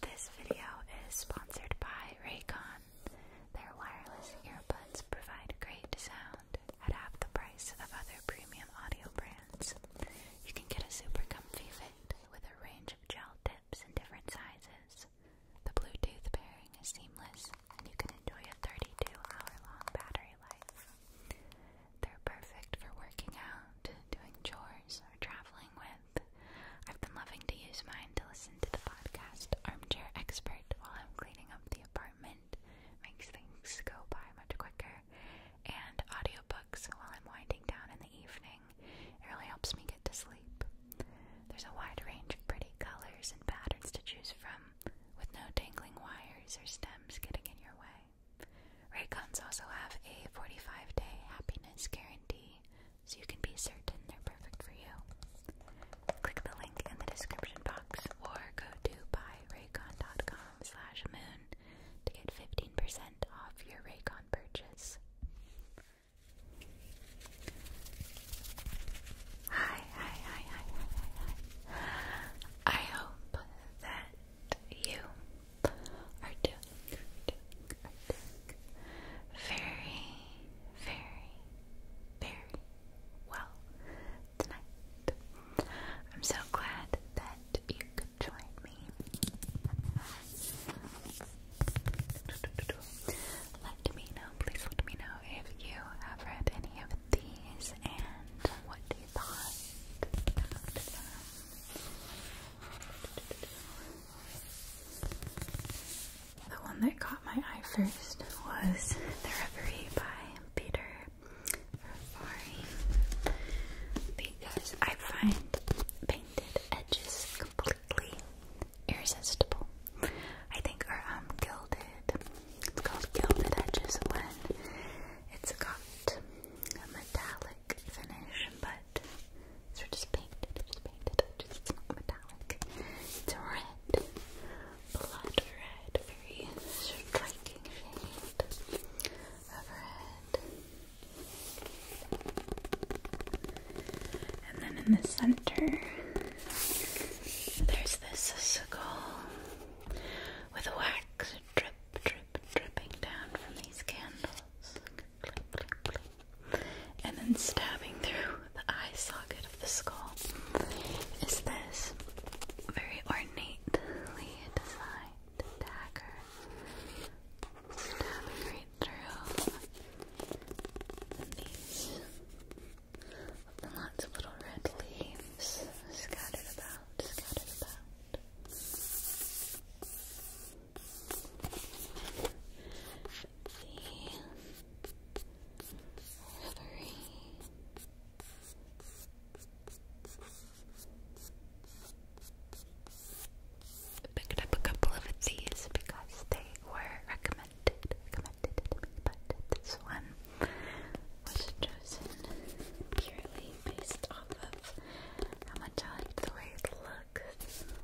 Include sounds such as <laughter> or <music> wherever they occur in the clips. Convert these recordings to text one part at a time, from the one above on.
This video is sponsored by Raycon. Their wireless earbuds provide great sound at half the price of other premium audio brands. You can get a super comfy fit with a range of gel tips and different sizes. The Bluetooth pairing is seamless and you can enjoy a 32 hour long battery life. They're perfect for working out, doing chores, or traveling with. I've been loving to use mine to listen to the podcast Armchair Expert while I'm cleaning up the apartment. Makes things go by much quicker. And audiobooks while I'm winding down in the evening. It really helps me get to sleep. There's a wide range of pretty colors and patterns to choose from, with no dangling wires or stems getting in your way. Raycons also have a 45 day happiness guarantee, so you can be certain they're perfect for you. Click the link in the description box or go to buyraycon.com slash moon to get 15% off your Raycon purchase. Hi, hi, hi, hi, hi, hi, I hope that you are doing I very, very, very well tonight. I'm so glad that you could join me. Let me know, please let me know if you have read any of these and what you thought the one that caught my eye first was The Reverie by Peter Ferrari because I find painted edges completely irresistible. I think are um, gilded. It's called gilded edges when it's got a metallic finish, but so just paint just paint it's not metallic. It's red, blood red, very striking shade of red. And then in the center, there's this skull with wax drip, drip, dripping down from these candles. And then stabbing through the eye socket of the skull is this very ornately designed dagger. Stabbing right through these and lots of little red leaves scattered about, scattered about. Rivery picked up a couple of these because they were recommended recommended but this one was chosen purely based off of how much I liked the way it looked look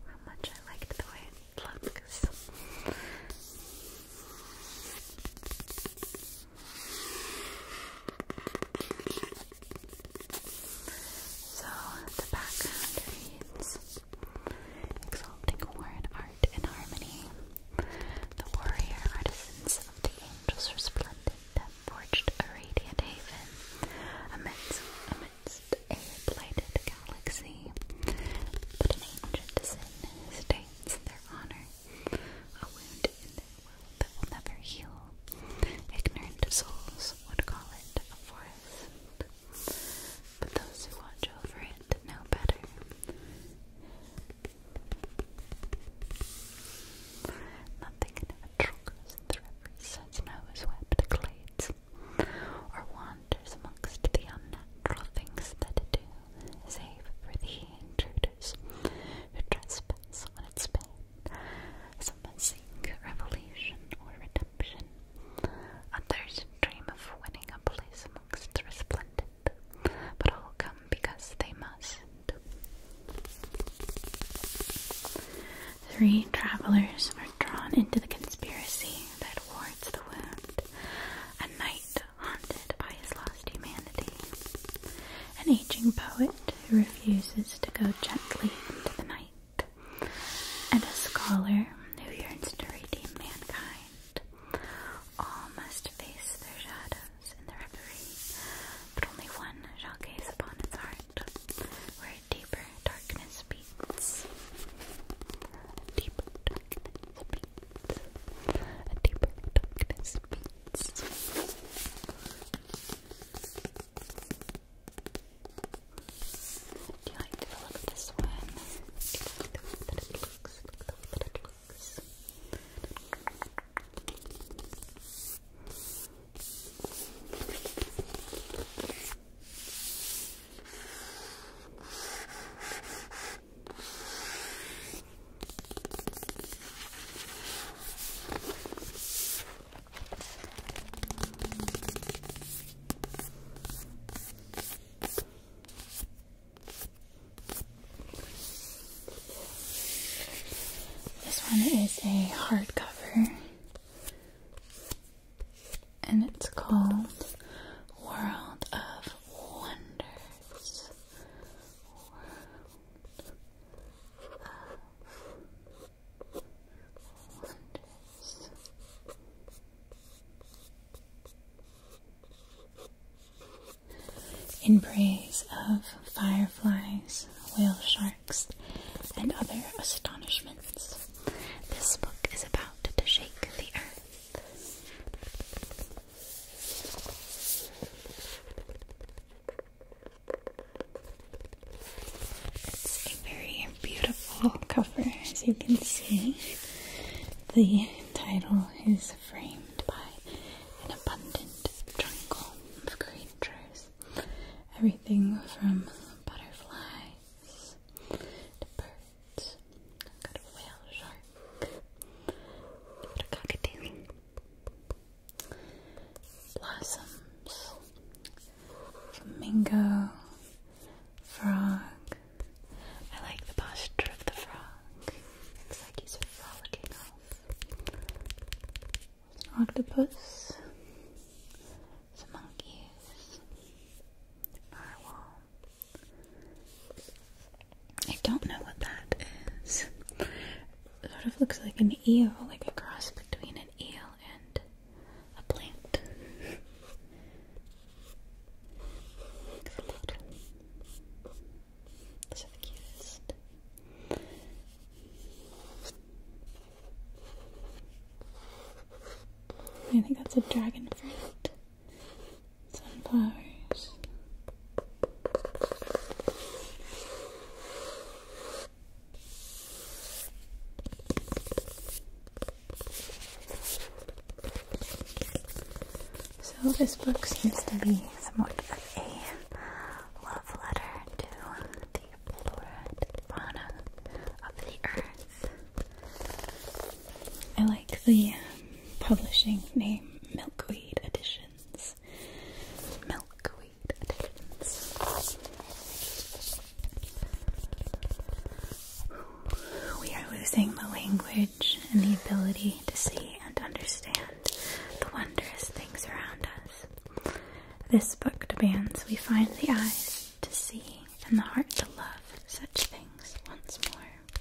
how much I liked the way it looks. So the background reads Exalting word art and harmony. The warrior artisans of the angels resplendent that forged a radiant haven it's a blighted galaxy, but an ancient sin stains in their honor, a wound world that will never heal. Ignorant souls would call it a forest, but those who watch over it know better. Nothing natural goes in the rivers as snow-swept glades, or wanders amongst the unnatural things that it do, save for the intruders who trespass on its bed. Some seek revelation or redemption, others dream of winning a place amongst the resplendent, but all come because they must. Three travelers are drawn into the conspiracy that wards the wound. A knight haunted by his lost humanity. An aging poet who refuses to go gently into the night. And a scholar who yearns to redeem mankind. All must face their shadows in the reverie, but only one shall gaze upon its heart where deeper darkness beats. Deep darkness beats. deeper darkness beats. Do you like this one? Do you the way that it looks? Look the way that it looks. This one is a hardcover and it's called World of Wonders. In praise of fireflies, whale sharks, and other astonishments. This book is about to shake the earth. It's a very beautiful cover, as you can see. The title is framed by an abundant jungle of creatures. Everything from butterflies birds. got a whale shark. got a cockatiel. Blossoms. Flamingo. Frog. I like the posture of the frog. It's like he's frolicking off. An octopus some monkeys, I don't know what that is. sort of looks like an eel, like a cross between an eel and a plant. Those are the cutest. I think that's a dragon fruit. Sunflowers. So this book seems to be somewhat of a love letter to I like the um, publishing name Milkweed Editions. Milkweed Editions. We are losing the language and the ability to see and understand the wondrous things around us. This book demands we find the eyes to see and the heart to love such things once more. the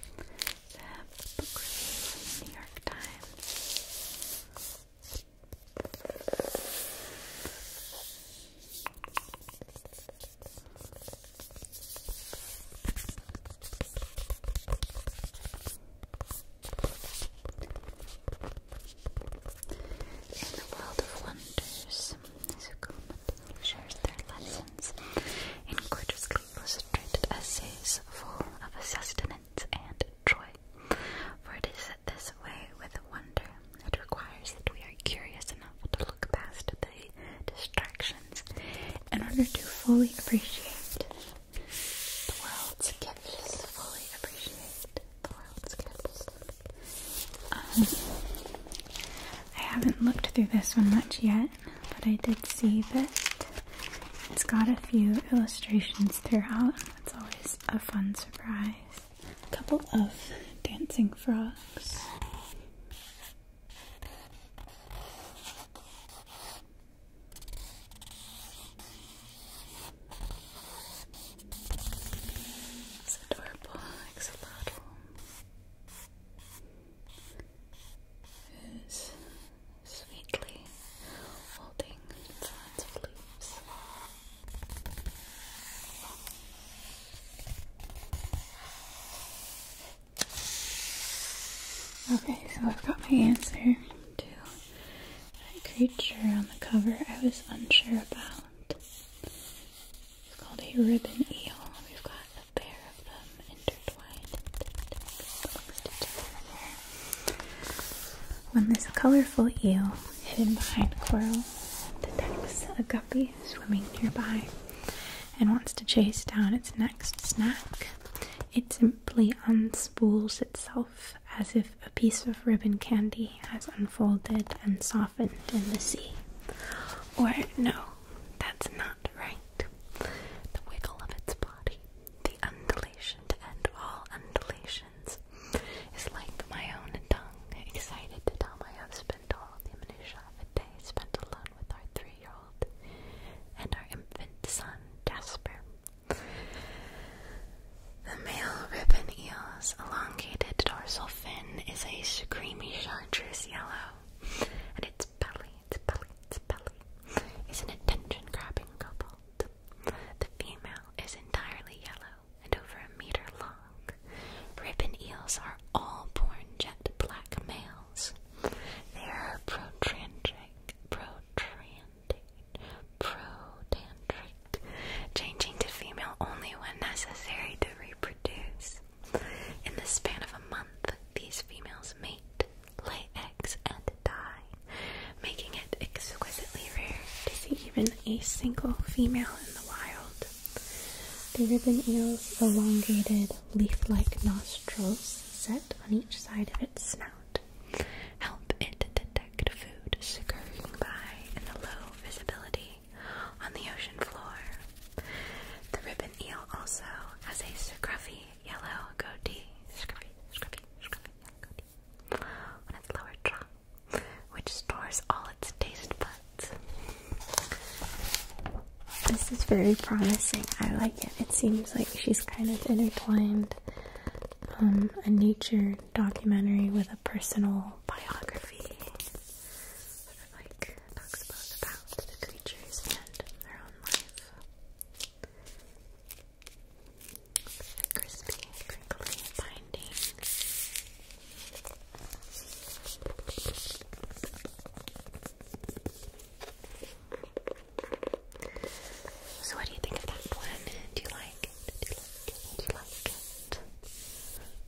New York Times. In the world of wonders, who shares their lessons in gorgeously illustrated essays full of sustenance and joy. For it is this way with wonder, it requires that we are curious enough to look past the distractions in order to fully appreciate the world's gifts. Um, I haven't looked through this one much yet, but I did see that it's got a few illustrations throughout. That's always a fun surprise. A couple of dancing frogs. It's adorable axolotl. Who's sweetly holding fronds of leaves. Okay, so I've got my answer to that creature on the cover I was unsure about. It's called a ribbon eel. We've got a pair of them intertwined When this colorful eel, hidden behind coral, detects a guppy swimming nearby and wants to chase down its next snack, it simply unspools itself as if a piece of ribbon candy has unfolded and softened in the sea. Or, no, that's not right. The wiggle of its body, the undulation to end all undulations, is like my own tongue, excited to tell my husband all the minutia of a day spent alone with our three year old and our infant son, Jasper. The male ribbon eel's elongated dorsal fin is a creamy chartreuse yellow, and its belly, its belly, its belly is an attention-grabbing cobalt. The female is entirely yellow and over a meter long. Ribbon eels are all born jet black males. They are protandric, protandric, protandric, changing to female only when necessary to reproduce. In the span of a month, these females mate, lay eggs, and die, making it exquisitely rare to see even a single female in the wild. The ribbon eel's elongated, leaf-like nostrils set on each side of its snout help it detect food scurrying by in the low visibility on the ocean floor. The ribbon eel also has a scruffy yellow goatee, scruffy, scruffy, on its lower jaw, which stores all its taste buds. This is very promising. I like it. It seems like she's kind of intertwined um, a nature documentary with a personal biography like talks about the creatures and their own life. The crispy, crinkly binding. So, what do you think of that one? Do you like it?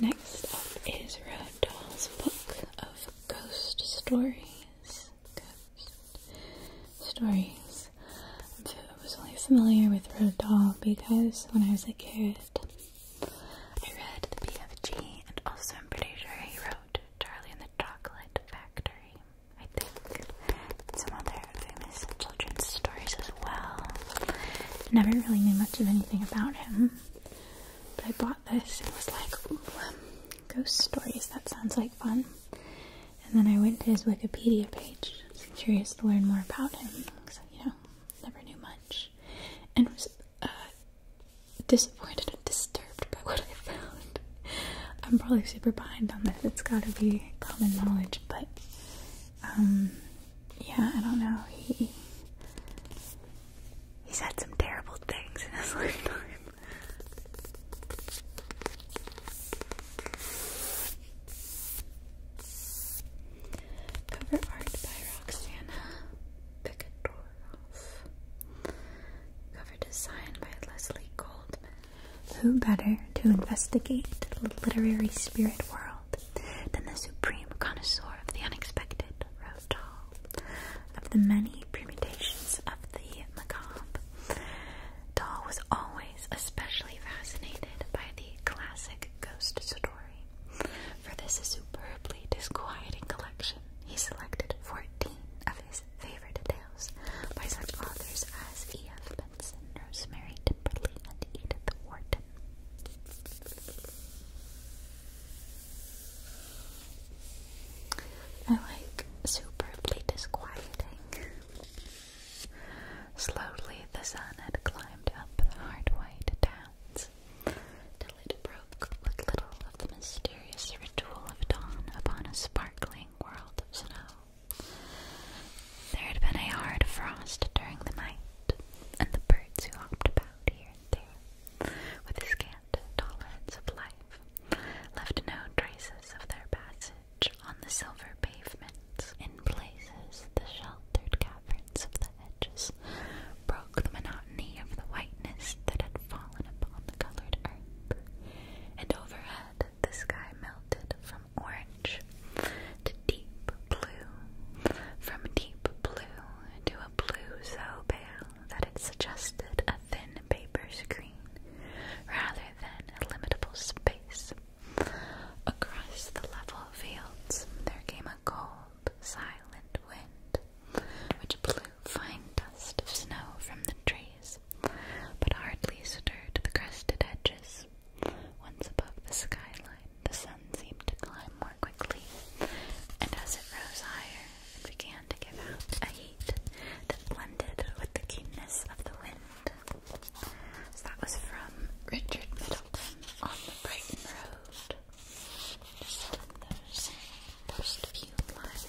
Next up is Roald Dahl's book of ghost stories. Ghost stories. I was only familiar with Roald Dahl because when I was a kid, I read The BFG, and also I'm pretty sure he wrote Charlie and the Chocolate Factory. I think some other famous children's stories as well. Never really knew much of anything about him but I bought this It was like, um, ghost stories, that sounds like fun. And then I went to his Wikipedia page, curious to learn more about him, you know, never knew much. And was uh, disappointed and disturbed by what I found. I'm probably super behind on this, it's gotta be common knowledge, but um, yeah, I don't know. He he said some terrible things in his <laughs> lifetime. Cover art by Roxana Picadoroff. Cover design by Leslie Goldman. Who better to investigate the literary spirit world than the supreme connoisseur of the unexpected, Roald Of the many permutations of the macabre, Dahl was always especially fascinated by the classic ghost story. For this superbly disquieting collection, he selected 14 of his favorite tales by such authors as E.F. Benson, Rosemary Timberley, and Edith Wharton. I like superbly disquieting. Slowly the sun had climbed up the hard white downs till it broke with little of the mysterious ritual of dawn upon a sparkling world of snow. There had been a hard frost during the night, and the birds who hopped about here and there, with a scant tolerance of life, left no traces of their passage on the silver pavements. In places, the sheltered caverns of the hedges broke the monotony of the whiteness that had fallen upon the colored earth, and overhead the sky melted from orange to deep blue, from deep blue to a blue so pale that it suggested a thin paper screen rather than a limitable space. Across the level fields there came a cold, silent wind, which blew fine dust of snow from the trees, but hardly stirred the crested edges. Once above the skyline, the sun seemed to climb more quickly, and as it rose higher, it began to give out a heat that blended with the keenness of the wind. that was from Richard Middleton on the Brighton Road. those first few lines.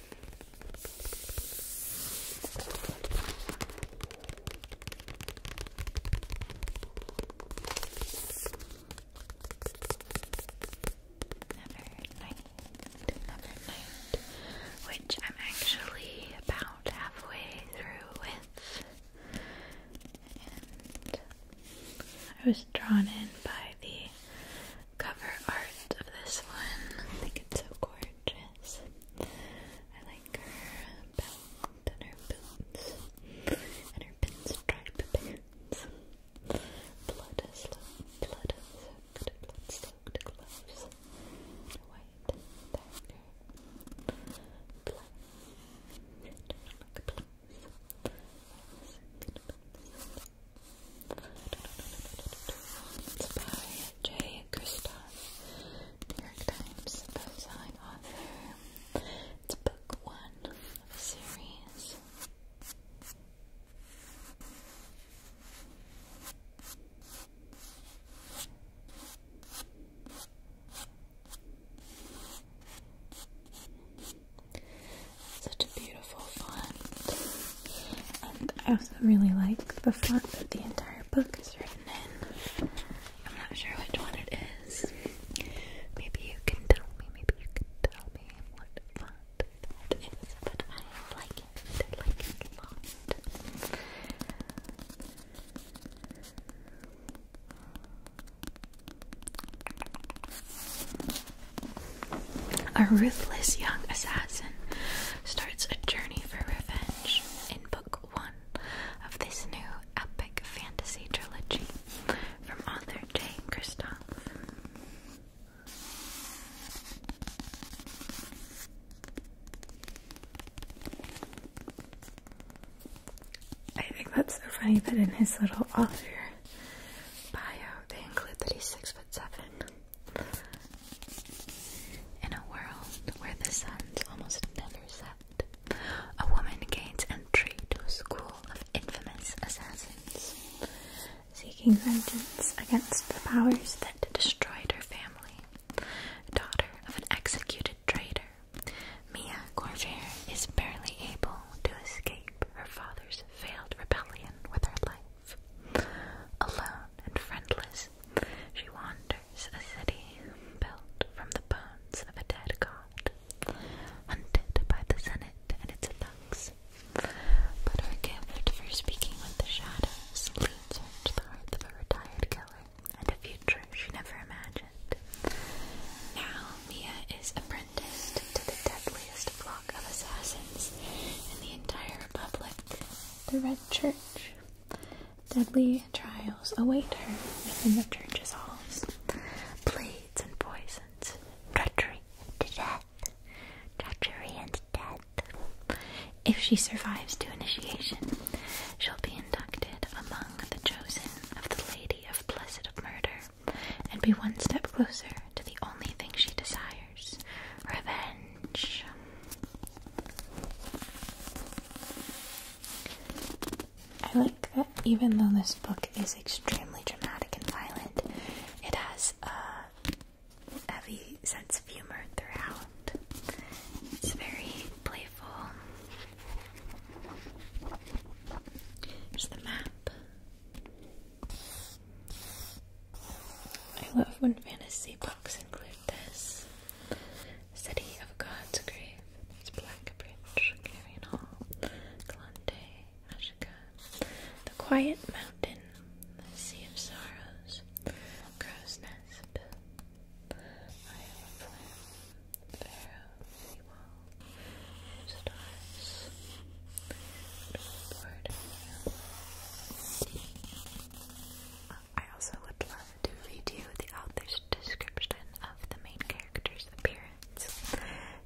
night, another night, which I'm actually about halfway through with. I was drawn in by the cover art of this one. I think it's so gorgeous. I like her belt and her boots and her pinstripe pants. Blood soaked, blood soaked, blood soaked gloves. white dagger. Blood. It's by Jay Kristoff, New York Times best author. It's book one of a series. Such a beautiful font. And I also really like the font that the entire book is written in. I'm not sure which one it is. Maybe you can tell me, maybe you can tell me what font that is, but I like it. I like it a a ruthless young assassin starts a journey for revenge in book one of this new epic fantasy trilogy from author Jay Kristoff. I think that's so funny that in his little author bio they include that he's six foot seven. In a world where the sun's almost never set, a woman gains entry to a school of infamous assassins, seeking vengeance against the powers that destroyed her family. Daughter of an executed traitor, Mia Corvair is barely able to escape her father's failed rebellion with her life. Alone and friendless, she wanders a city built from the bones of a dead god, hunted by the Senate and its thugs. But her gift for speaking with the shadows leads her to the heart of a retired killer and a future she never imagined. Now Mia is apprenticed to the deadliest of of assassins and the entire republic. The Red Church. Deadly trials await her within the church's halls. Blades and poisons, treachery to death, treachery and death. If she survives to initiation, she'll be inducted among the chosen of the Lady of Blessed Murder and be one step closer to the only thing she desires revenge. I like that even though this book is extremely dramatic and violent, it has a heavy sense of humor throughout. It's very playful. Here's the map. I love when fantasy books include this. City of God's Grave. It's Blackbridge, Carrion Hall, Glande, Ashika. The Quiet Mountain, The Sea of Sorrows, Crow's Nest, Isle of Flame, Pharaoh, Seawall, Stars, I also would love to read you the author's description of the main character's appearance.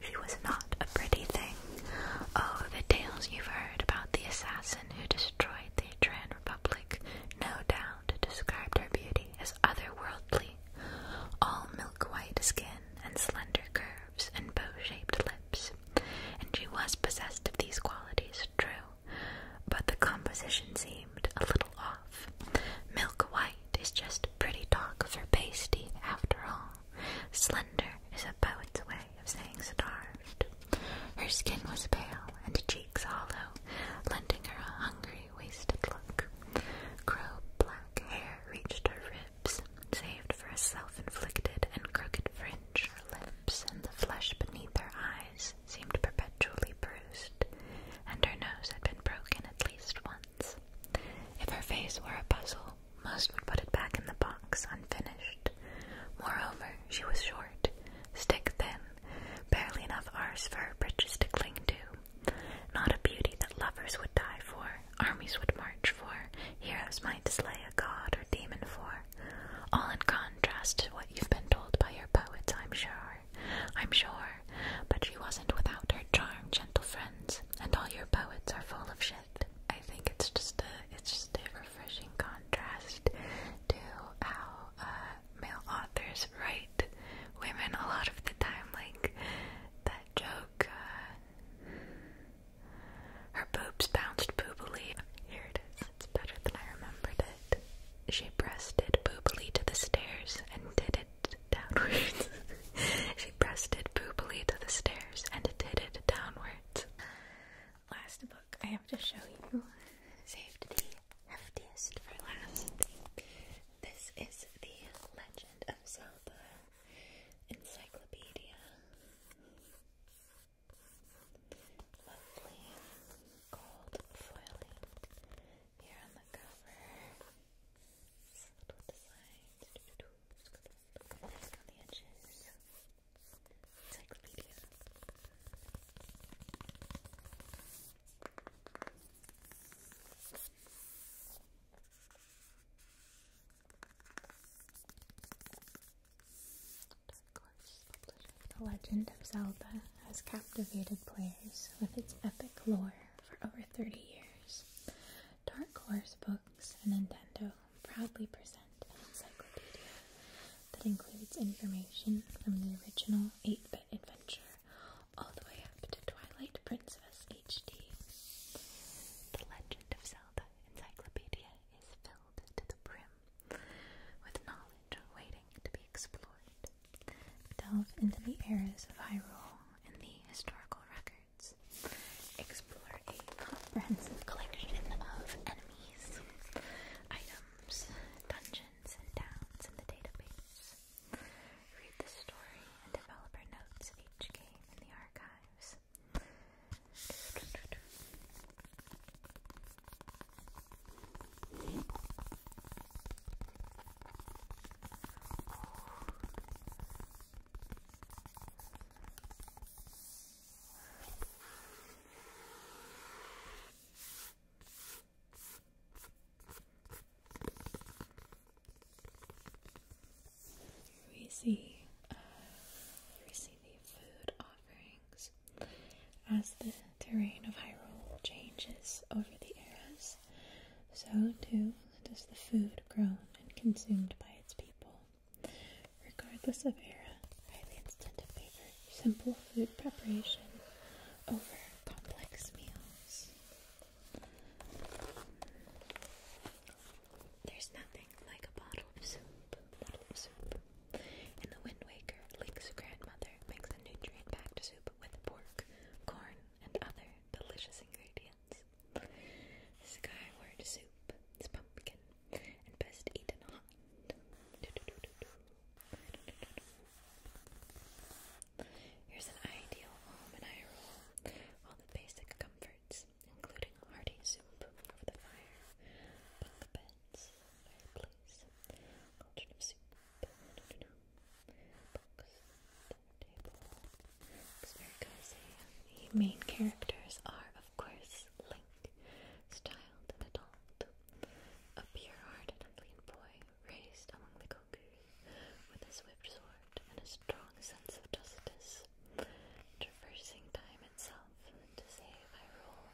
She was not a pretty thing. Oh, the tales you've heard about the assassin who destroyed the Atran Republic no doubt described her beauty as otherworldly. All milk white skin and slender curves and bow shaped lips and she was possessed of these qualities, true, but the composition seemed a little off. Milk white is just pretty talk for pasty, after all. Slender is a poet's way of saying starved. Her skin was pale and cheeks hollow, lending her a hungry, wasted look. Crow black hair reached her ribs, saved for a self-inflicted and crooked fringe lips, and the flesh beneath her eyes seemed perpetually bruised, and her nose had been broken at least once. If her face were a puzzle, most would put it back in the box unfinished. Moreover, she was short, stick thin, barely enough arse for her bridges to cling to. Not a beauty that lovers would die for, armies would march for, heroes might slay a god or demon for. All in contrast to what you've been told by your poets, I'm sure. I'm sure. But she wasn't without her charm, gentle friends, and all your poets are full of shit. I think it's just a it's just a refreshing contrast to how uh, male authors write women a lot of the time, like that joke. Uh, her boobs bounced boobily. Here it is. It's better than I remembered it. She breasted boobily to the stairs and did it downwards. <laughs> she pressed it boobily to the stairs and did it downwards. Last book I have to show you. Saved the heftiest for last. This is the Legend of Zelda Encyclopedia lovely gold foiling here on the cover. It's a little design. Nice on the edges. Encyclopedia. The Legend of Zelda has captivated players with its epic lore for over 30 years. Dark Horse Books and Nintendo proudly present an encyclopedia that includes information from the original 8-bit adventure all the way up to Twilight Princess HD. The Legend of Zelda Encyclopedia is filled filled to the brim with knowledge waiting to be explored. Delve into the eras of Hyrule and the historical records. Explore a comprehensive collection of enemies, items, dungeons, and towns in the database. Read the story and developer notes of each game in the archives this. We see, we uh, see the food as the terrain of Hyrule changes over the eras, so too does the food grown and consumed by its people. Regardless of era, highly tend to favor simple food preparation over complex meals. There's nothing drink like a bottle of soup. Bottle the Wind Waker, Link's grandmother makes a nutrient-packed soup with pork, corn, and other delicious ingredients. Skyward soup is pumpkin and best eaten hot. Here's an ideal home in Hyrule. All the basic comforts including hearty soup over the fire, bunk beds, fireplace, cauldron soup, no, books, dinner table. It's The main characters are, of course, Link, his and adult, a pure-hearted and clean boy raised among the Goku, with a swift sword and a strong sense of justice. Traversing time itself to say by rule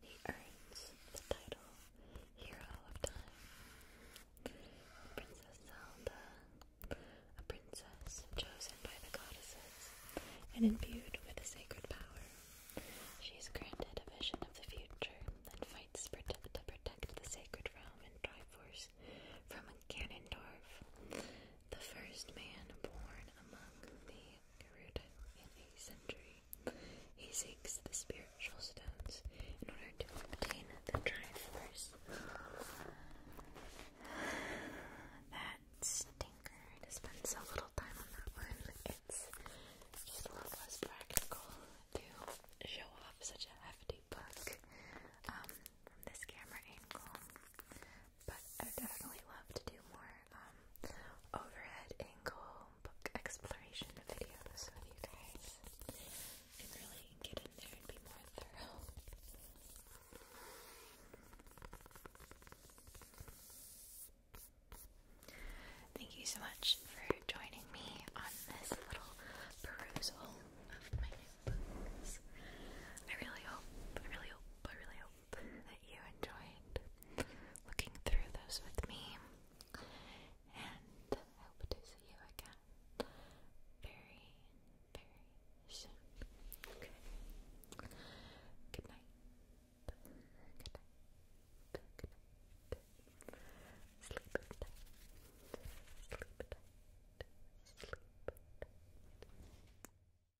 he earns the title Hero of Time. Princess Zelda, a princess chosen by the goddesses and imbued with a sacred power. She is granted a vision of the future and fights prote to protect the sacred realm in Triforce from a Ganondorf, the first man born among the Gerudo in a century. He seeks the spiritual stones in order to obtain the Triforce. That stinker. I spent little time on that one. It's just a lot less practical to show off such a hefty book um, from this camera angle. But I definitely love to do more um, overhead angle book exploration videos with you guys. And really get in there and be more thorough. Thank you so much for joining me on this little perusal of my new books. I really hope, I really hope, I really hope that you enjoyed looking through those with me, and I hope to see you again very, very soon. Okay. Good night. Good night. Sleep at Sleep at Sleep at